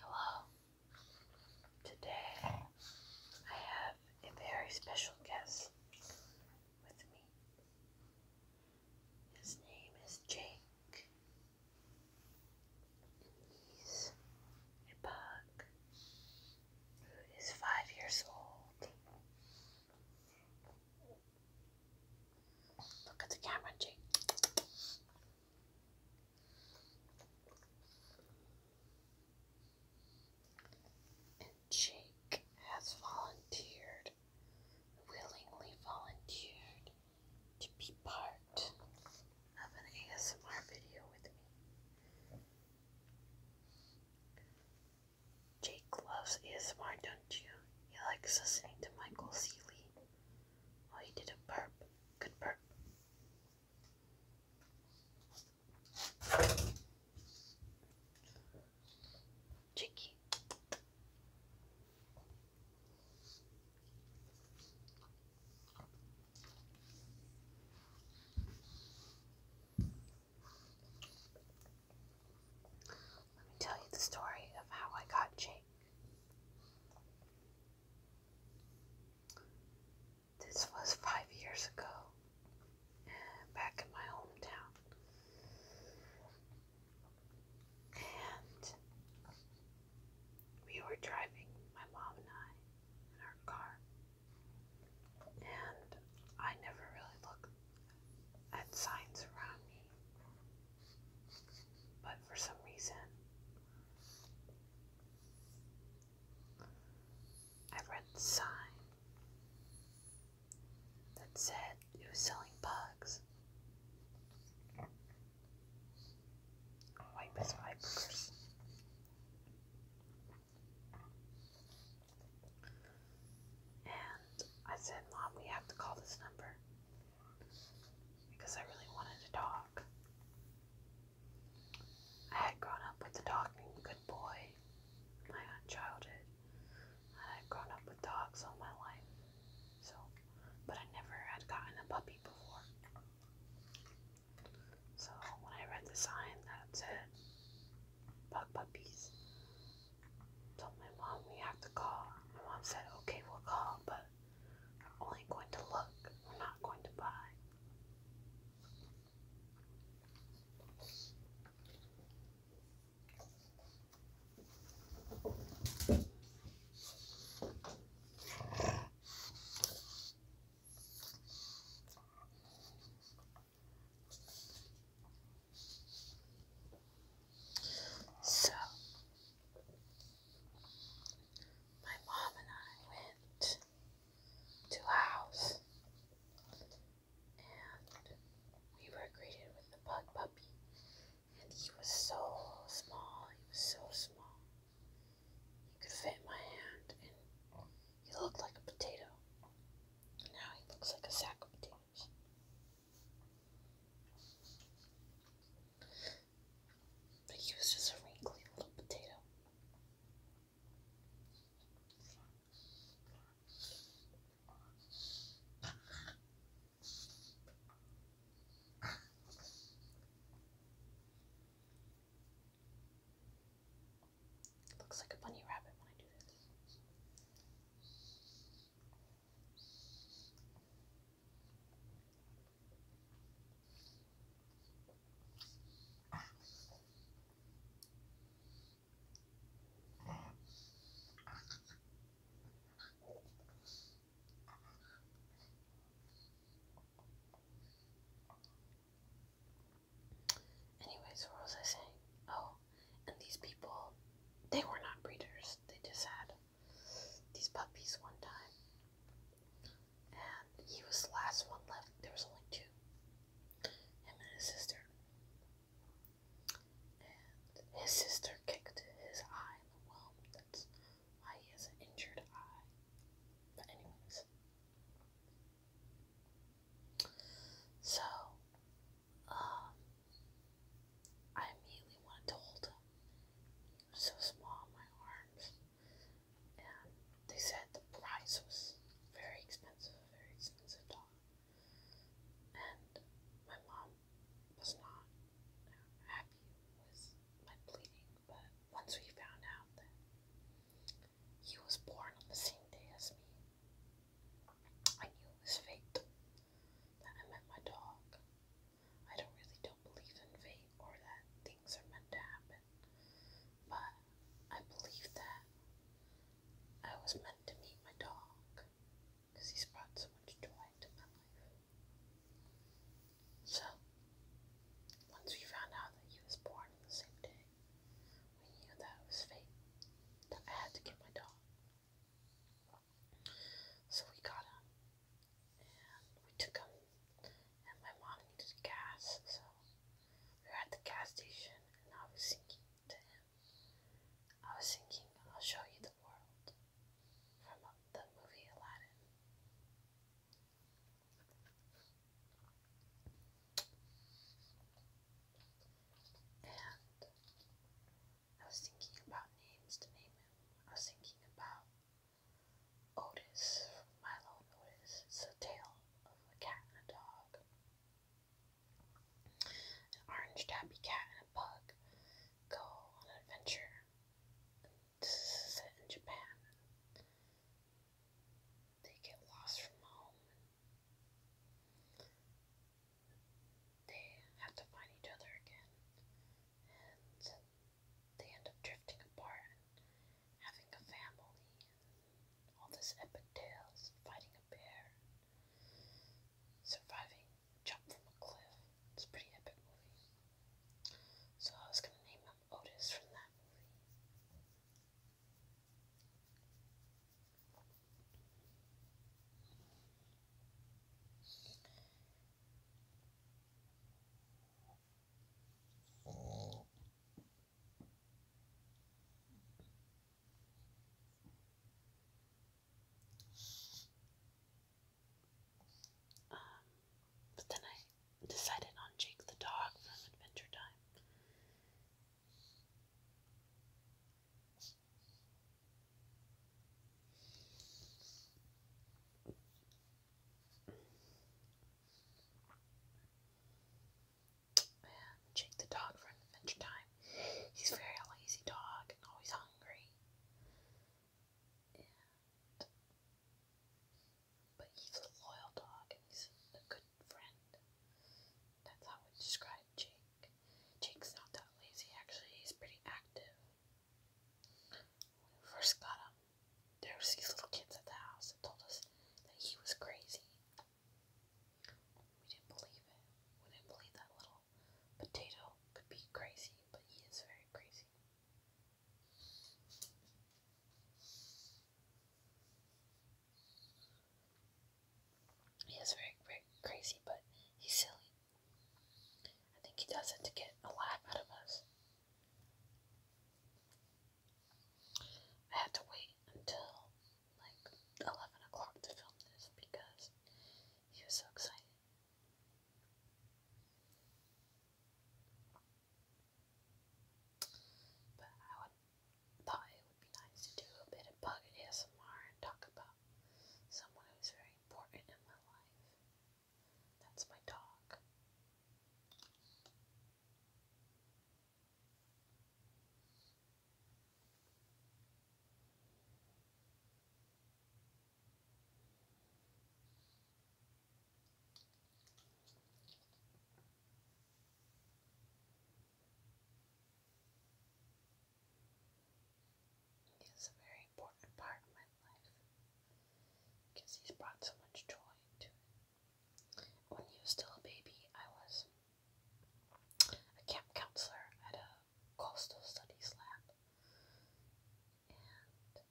Hello. Today I have a very special guest with me. His name is Jake. He's a bug who is five years old. Look at the camera, Jake. Jake has volunteered, willingly volunteered, to be part of an ASMR video with me. Jake loves ASMR, don't you? He likes listening to Michael Seeley. Oh, he did a burp. Good burp. Let me tell you the story of how I got Jake. This was five years ago, uh, back in my hometown. And we were driving, my mom and I, in our car. And I never really look at signs around me. But for some reason, I read sign that said it was selling bugs. Wipe his wipers. And I said, Mom, we have to call this number because I really wanted to talk. I had grown up with the talking good boy in my childhood. I had grown up with dogs all my life, so but I never had gotten a puppy before. So when I read the sign that said bug puppies, told my mom we have to call. My mom said, "Okay, we'll call," but we're only going to look, we're not going to buy. So my mom and I went to a house and we were greeted with a bug puppy. And he was so small, he was so small. He could fit my hand and he looked like a potato. Now he looks like a sack of potatoes he was just a wrinkly little potato. Looks like a bunny rabbit when I do this. Anyways, what was I saying? Oh, and these people, they were not breeders. They just had these puppies one time, and he was the last one left. There was only two, him and his sister. And his sister kicked his eye in the womb. That's why he has an injured eye. But anyways, so um, I immediately wanted to hold him so small, my arms. And they said the price was very expensive, very expensive dog. And my mom was not happy with my bleeding, but once we found out that he was born on the same day as me, I knew it was fate that I met my dog. I don't really don't believe in fate or that things are meant to happen. But I believe that I was meant to meet my dog because he's brought so much joy to my life. So once we found out that he was born on the same day, we knew that it was fate that I had to get my dog. So we got him and we took him. And my mom needed gas, so we were at the gas station, and I was thinking to him, I was thinking, I'll show you the world from uh, the movie Aladdin. And I was thinking about names to name him. I was thinking about Otis Milo Otis. It's a tale of a cat and a dog. An orange tabby cat and a pug go on an adventure. This is in Japan. They get lost from home. They have to find each other again. And they end up drifting apart having a family all this epic tales, fighting a bear, surviving jump from a cliff. It's pretty epic movie. So I was gonna name him Otis from that movie. Um, but then I decided on Jake the dog from Adventure Time. And Jake the dog from Adventure Time. He's very lazy dog and always hungry. And but he's a loyal dog and he's a good friend. That's how we describe Jake. Jake's not that lazy actually, he's pretty active. When we first got him, there was these little kids at the house that told us that he was crazy. We didn't believe it. We didn't believe that little potato could be crazy, but he is very crazy. He is very, very crazy, but he's silly. I think he does it to get a laugh out of us. I had to wait until like 11 o'clock to film this because he was so excited. But I thought it would be nice to do a bit of bug ASMR and talk about someone who's very important in my life. That's my dog. He very very important part of my life because he's brought so much joy to it. When he was still a baby, I was a camp counselor at a coastal studies lab, and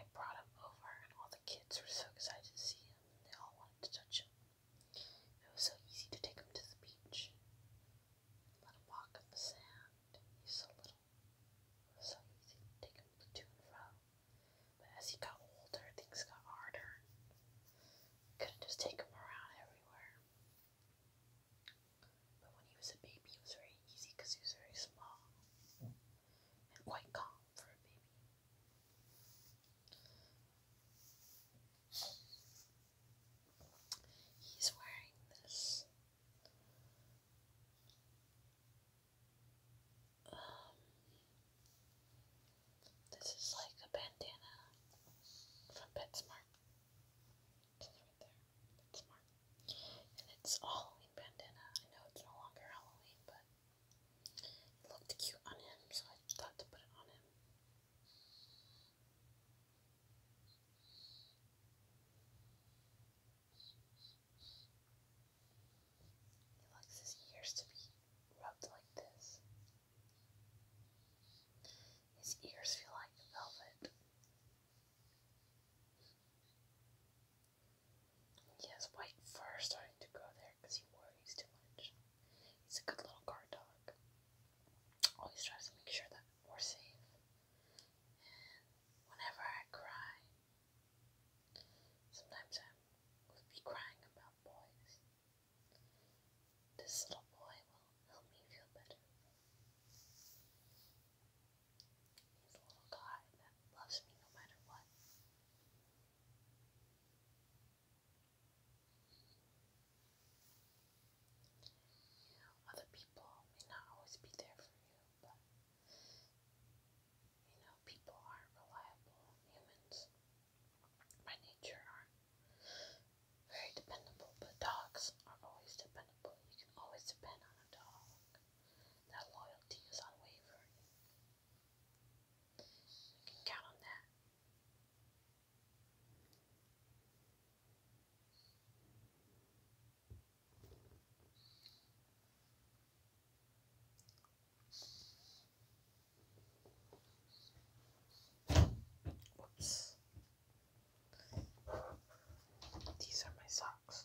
I brought him over, and all the kids were so excited to see him, and they all wanted to touch him. It was so easy to take him to the beach. Let him walk on the sand. He's so little. so easy to take him to and fro. But as he got older, things got harder. Couldn't just take him around everywhere. But when he was a baby, it was very easy because he was very small and quite calm for a baby. He's wearing this um, this is like a bandana from PetSmart. It's right there. PetSmart. And it's Halloween bandana. I know it's no longer Halloween, but it looked cute on him, so I thought to put it on him. He likes his ears to be rubbed like this. His ears feel like velvet. He has white fur starting to grow there because he worries too much. He's a good little guard dog. Always tries to make sure that we're safe whenever I cry, sometimes I would be crying about boys. This little boy will help me feel better. He's a little guy that loves me no matter what. Other people may not always be there for you, but you know, people aren't reliable. Humans by nature aren't very dependable, but dogs are always dependable. You can always depend on a dog. That loyalty is unwavering. You can count on that. These are my socks.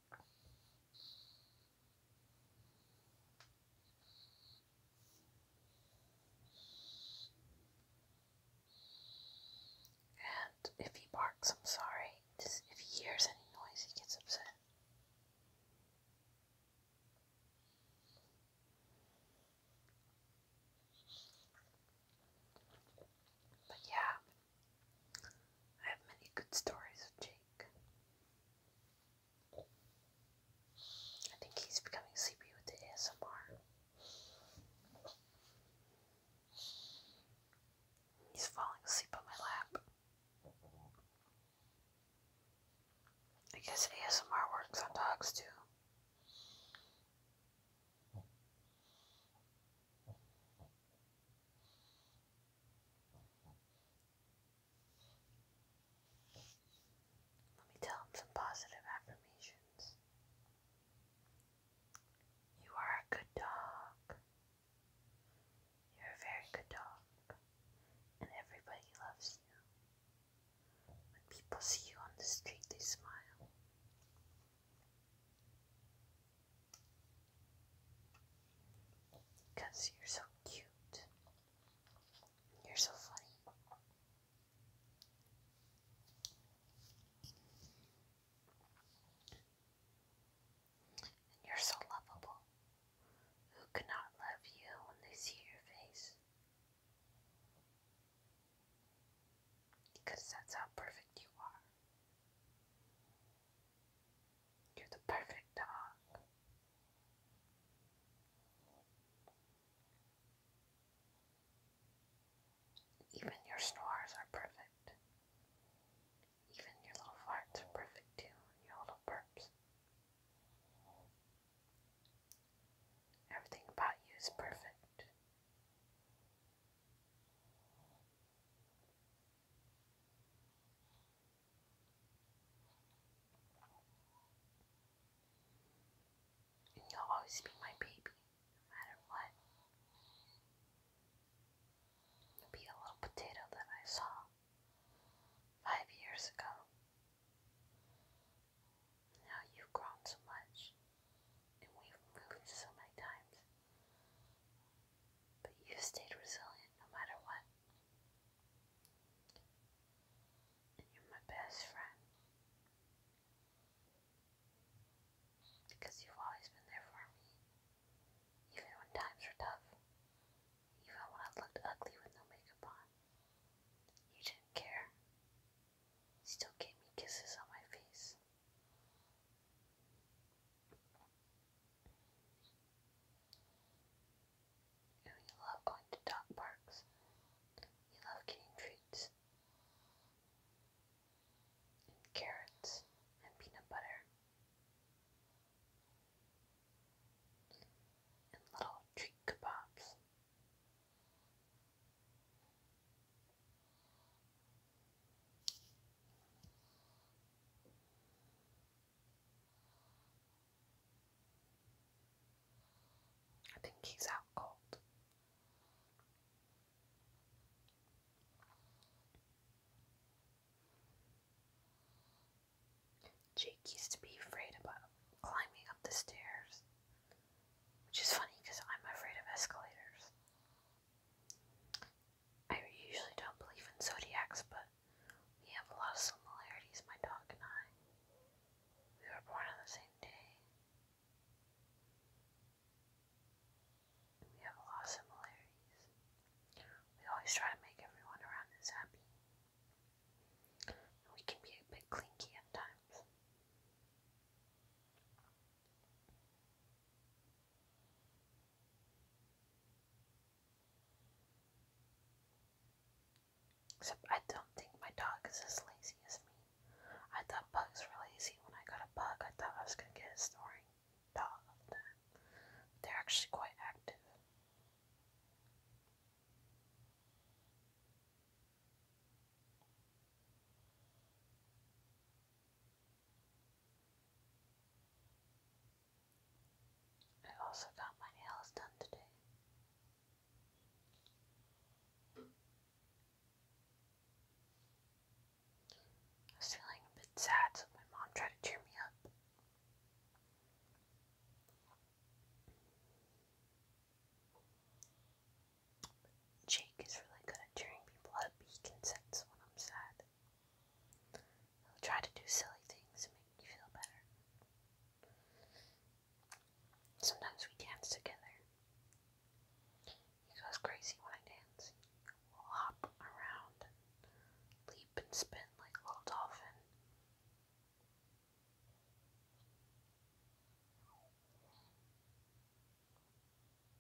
And if he barks, I'm sorry. if he hears any noise, he gets upset. But yeah, I have many good stories of Jake. I think he's becoming sleepy with the ASMR. He's falling asleep on my lap. I guess ASMR works on dogs too. Let me tell him some positive affirmations. You are a good dog. You're a very good dog, and everybody loves you. When people see you on the street, they smile. Because you're so cute. You're so funny. And you're so lovable. Who cannot love you when they see your face? Because that's how perfect you are. You're the perfect dog. Even your snores are perfect. Even your little farts are perfect too, your little burps. Everything about you is perfect you'll always be my baby, no matter what. be a little potato that I saw five years ago. Now you've grown so much, and we've moved so many times. But you stayed resilient no matter what. And you're my best friend. Because you've always been there for me. Even when times were tough. Even when I looked ugly with no makeup on. You didn't care. still gave me kisses on my face. You, know, love going to dog parks. You love getting treats and carrots and peanut butter and little treat kebabs. I think he's out cold. Jake used to be afraid about climbing up the stairs, which is funny because I'm afraid of escalators. I usually don't believe in zodiacs, but we have a lot of similarities, my dog and I. We were born on the same day. We have a lot of similarities. We always try to make everyone around us happy. we can be a bit clinky at times. Except I don't think my dog is as lazy as me. I thought bugs were lazy. When I got a bug, I thought I was going to get a snoring dog all the time. They're actually quite active. I also got my nails done today. I was feeling a bit sad, so my mom tried to cheer me up. Jake is really good at cheering people up. He can sense when I'm sad. He'll try to do silly things to make me feel better. Sometimes we dance together. He goes crazy when I dance. We'll hop around leap and spin like a little dolphin.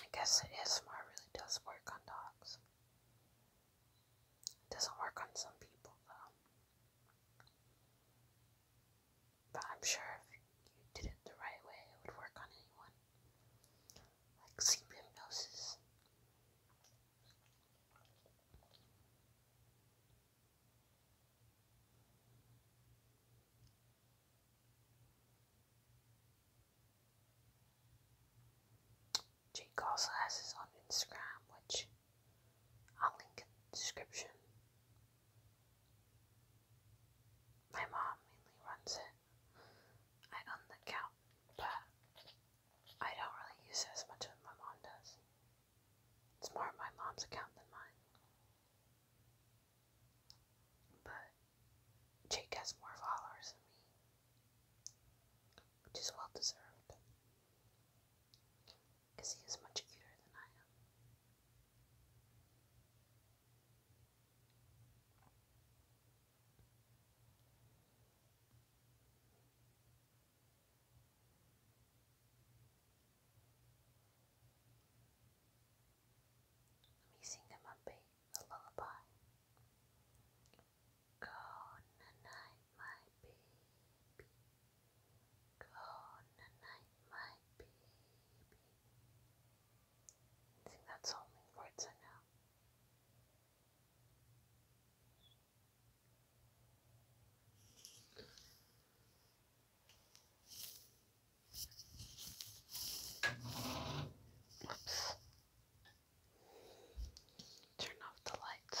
I guess ASMR really does work on dogs. doesn't work on some people though. But I'm sure if you did it the right way, it would work on anyone. Like sleep hypnosis. Jake also has his on Instagram, which I'll link in the description. My mom mainly runs it. I own the account, but I don't really use it as much as my mom does. It's more my mom's account than mine. But Jake has more followers than me, which is well deserved because he is much cuter than I am. Let me sing him a bit, a lullaby. Go night, my baby. Go night, my baby. I think that's all the words I know. Whoops. Turn off the lights.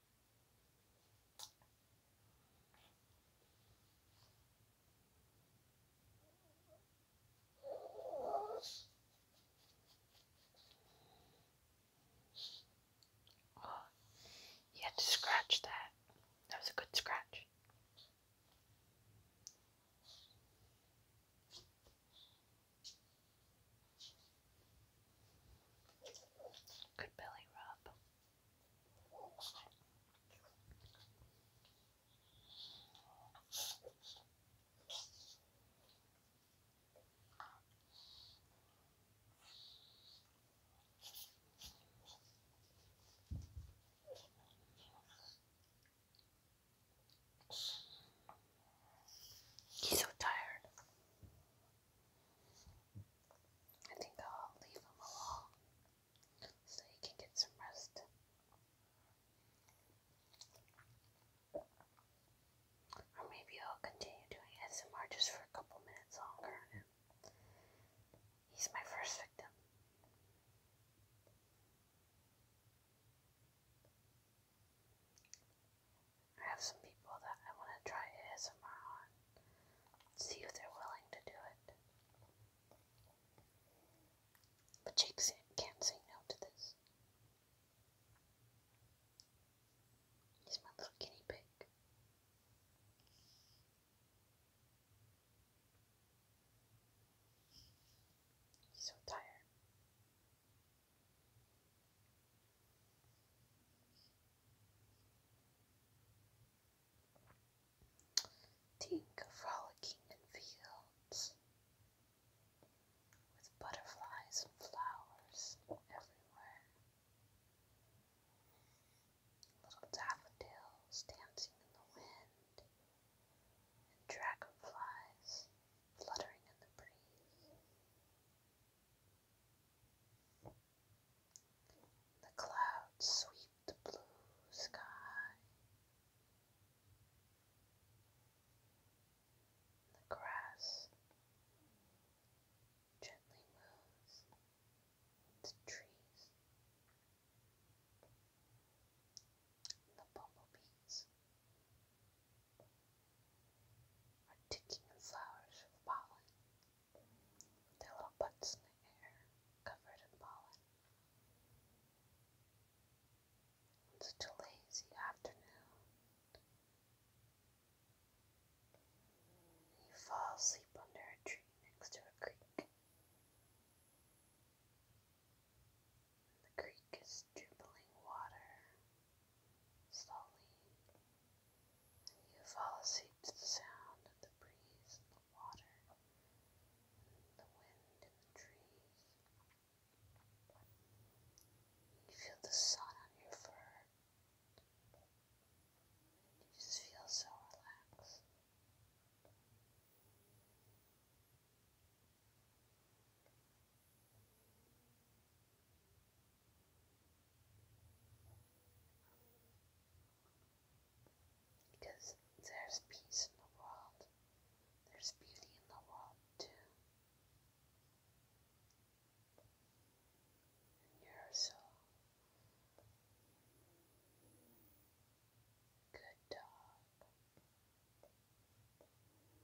Oh, you had to scratch that. That was a good scratch. Good belly rub. He's so tired. I think I'll leave him alone so he can get some rest. Or maybe I'll continue doing SMR just for a couple minutes longer He's my first victim. I have some people that I want to try ASMR on. See if they're willing to do it. But Jake can't say no to this. He's my little guinea pig. He's so tired. Think of frolicking in fields with butterflies and flowers everywhere. Little daffodils dancing in the wind, and dragonflies fluttering in the breeze. The clouds sweep the blue sky. The grass gently moves the trees. The bumblebees are ticking flowers of pollen their little butts in the air, covered in pollen. It's a lazy afternoon. You fall asleep under a tree next to a creek. the creek is dribbling water slowly and you fall asleep to the sound of the breeze and the water and the wind and the trees. You feel the sun on your fur. You just feel so relaxed. Because there's peace in the world, there's beauty in the world too. And you're so good dog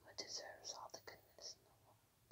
who deserves all the goodness in the world.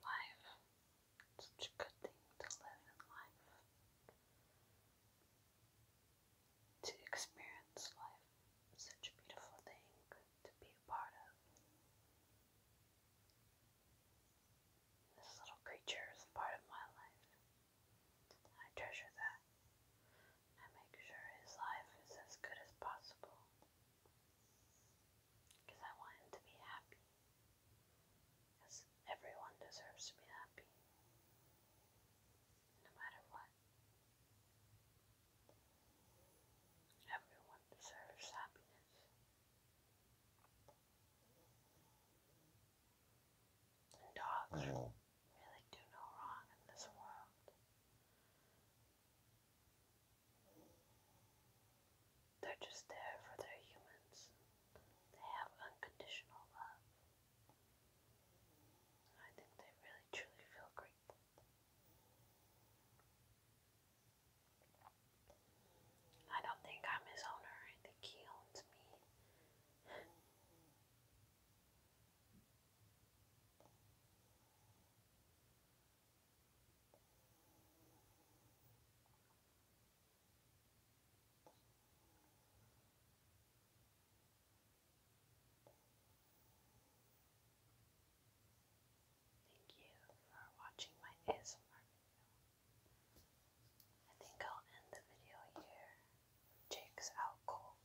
Life. It's such a good thing to live in life. To experience life. such a beautiful thing to be a part of. This little creature is part of my life. I treasure that. I make sure his life is as good as possible. Because I want him to be happy. Because everyone deserves to be happy. No matter what. Everyone deserves happiness. And dogs mm. really do no wrong in this world. They're just there for their humans. They have unconditional love. I think they really truly feel grateful. I don't think I'm his owner, I think he owns me. Thank you for watching my ASMR video. I think I'll end the video here. Jake's out cold.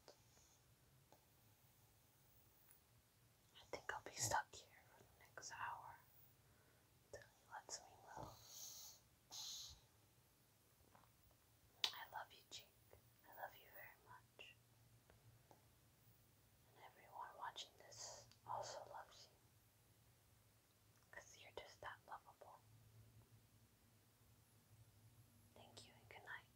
I think I'll be stuck here for the next hour until he lets me move. I love you, Jake. I love you very much. And everyone watching this also loves you. Because you're just that lovable. Thank you and good night.